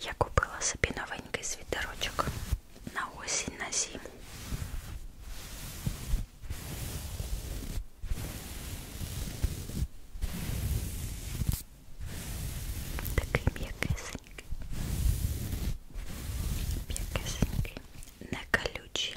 Я купила собі новенький світерочок на осінь, на зиму. Такий м'якесенький. М'якесенький, не колючий.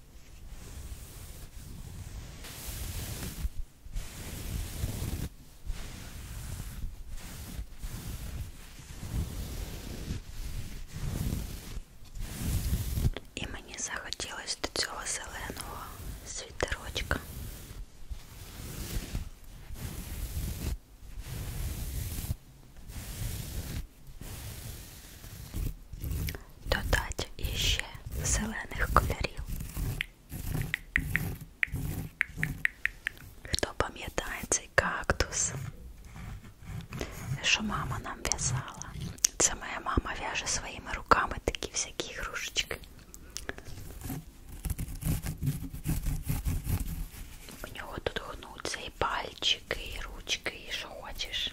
І мені захотілося до цього зеленого світерочка. Додать іще зелених кольорів. Хто пам'ятає цей кактус, що мама нам в'язала? Це моя мама в'яже своїми руками такі всякі ігрушечки. У нього тут гнуться і пальчики, і ручки, і що хочеш.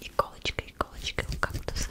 Иголочка, иголочка у кактуса.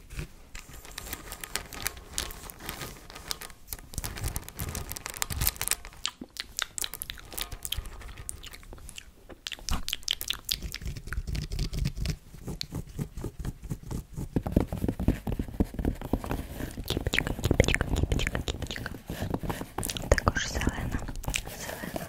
Кипочка, кипочка, кипочка, кипочка. Так уж зелена, зелена.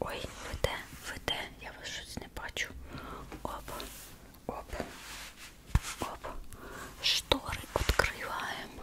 Ой, ВД, ВД, я вас щось не бачу. Оп, оп, оп. Штори відкриваємо.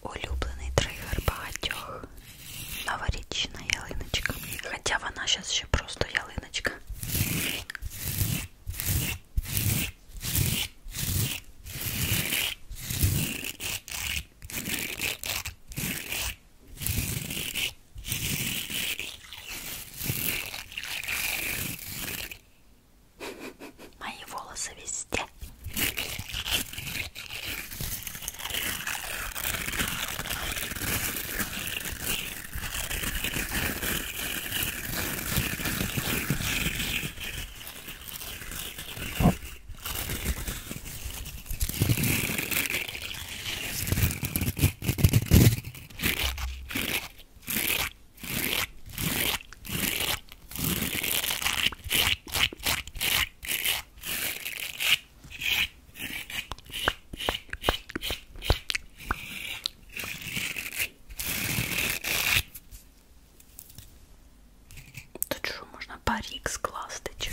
Улюблений тригер багатьох. Новорічна ялиночка. Хоча вона зараз ще просто ялиночка. Мои волосы везде. Тут что, можно парик с глаз тычешь?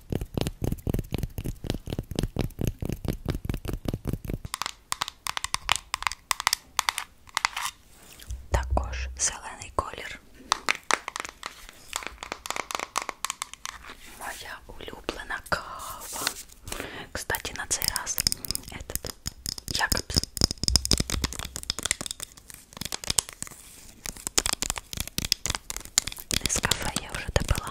Також зелений колір. Моя улюблена кава. Кстати, на цей раз этот Якобс из кафе я уже добыла.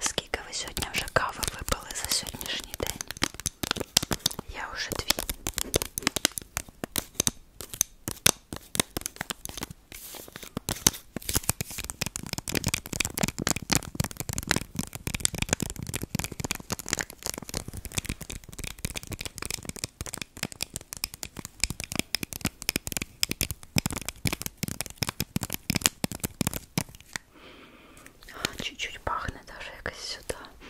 Скільки ви сьогодні вже кави випили за сьогоднішній день? Я вже дві. А, чуть-чуть пахнет даже как сюда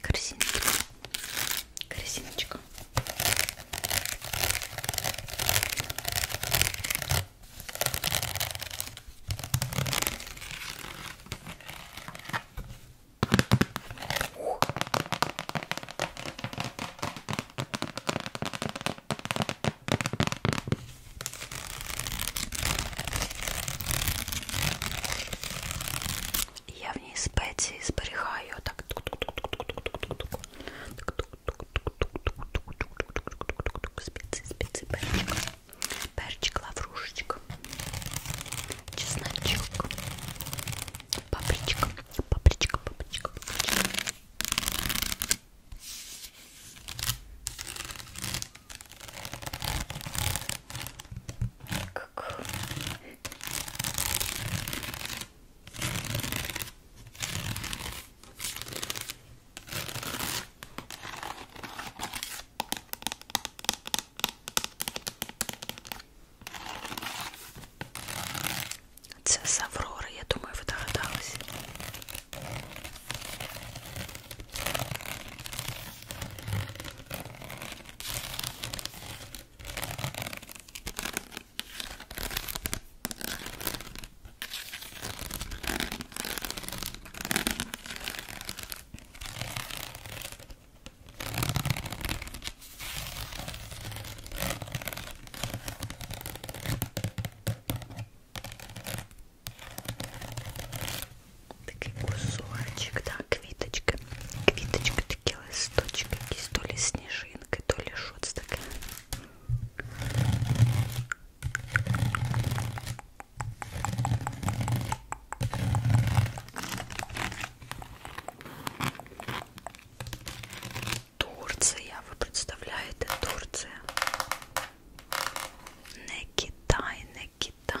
Корзиночка. Корзиночка. Ух. Я в ній спеції зберігаю так. Специи, специи, перчик, перчик, лаврушечка, чесночок, папричка, папричка, папричка, папричка. Как... Це з Аврори, я думаю, ви догадались. Такий кусочек, да, квіточка. Квіточка, такі листочки, якісь то лі сніжинки, то лі шоц таке. Турция, ви представляєте Турція? Не Китай, не Китай.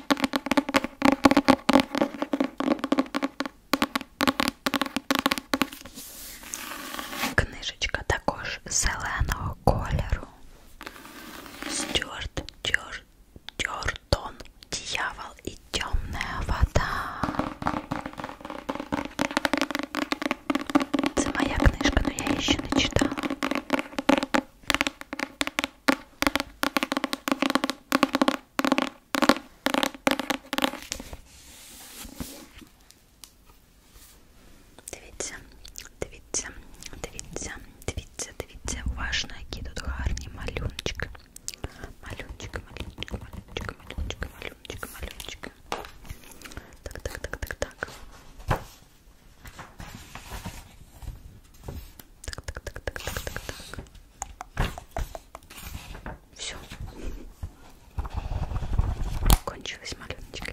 Книжечка також зеленого кольору. Стюарт, Дьортон, Дьявол і темна вода. Це моя книжка, але я її ще не читала. Дивіться, дивіться, дивіться, дивіться, дивіться, уважно, які тут гарні малюночки. Малюночки, малюночки, малюночки, малюночки, малюночки, малюночки. Так, так, так, так, так. Так, так, так, так, так, так, так. Все. Кончилась малюночка.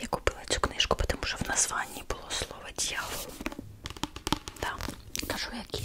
Я купила цю книжку, тому що в названні було слово дьявол. Так, да, кажу, як є.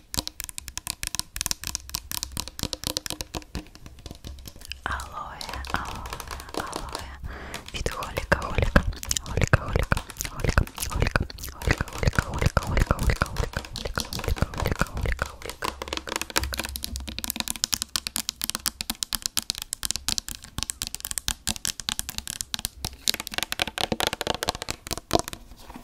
Алоэ, алоэ, алоэ. Виды холика, холика, холика, холика, холика, холика, холика, холика, холика, холика, холика, холика, холика, холика, холика, холика,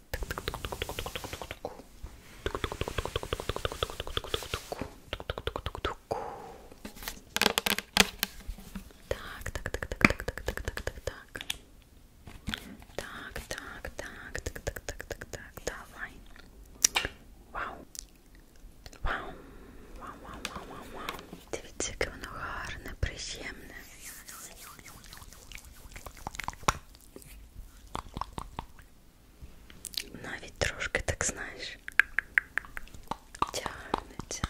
Так, так, так, так, так, так, так, так, так, так. Так, так, так, так, так, так, так, так, давай. Вау. Вау, вау, вау, вау, вау, вау. Дивіться, яке воно гарне, приємне. Но ведь трошки так знаешь. Тянется.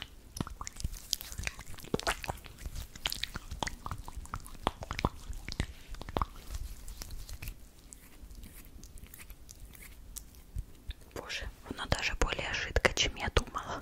Боже, оно даже более жидко, чем я думала.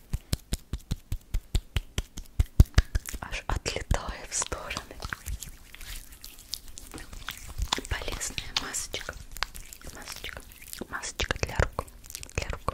аж отлетая в стороны. Полезная масочка, масочка, масочка для рук, для рук.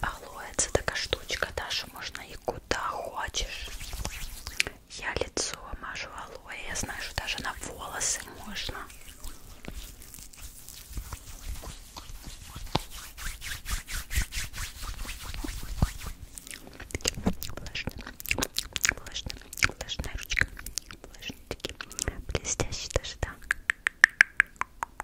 Алоэ, это такая штучка, Даша, можно и куда хочешь. Я лицо мажу алоэ, я знаю, что даже на волосы можно. Влажная, влажная, влажная ручка, влажные блестящий даже, да.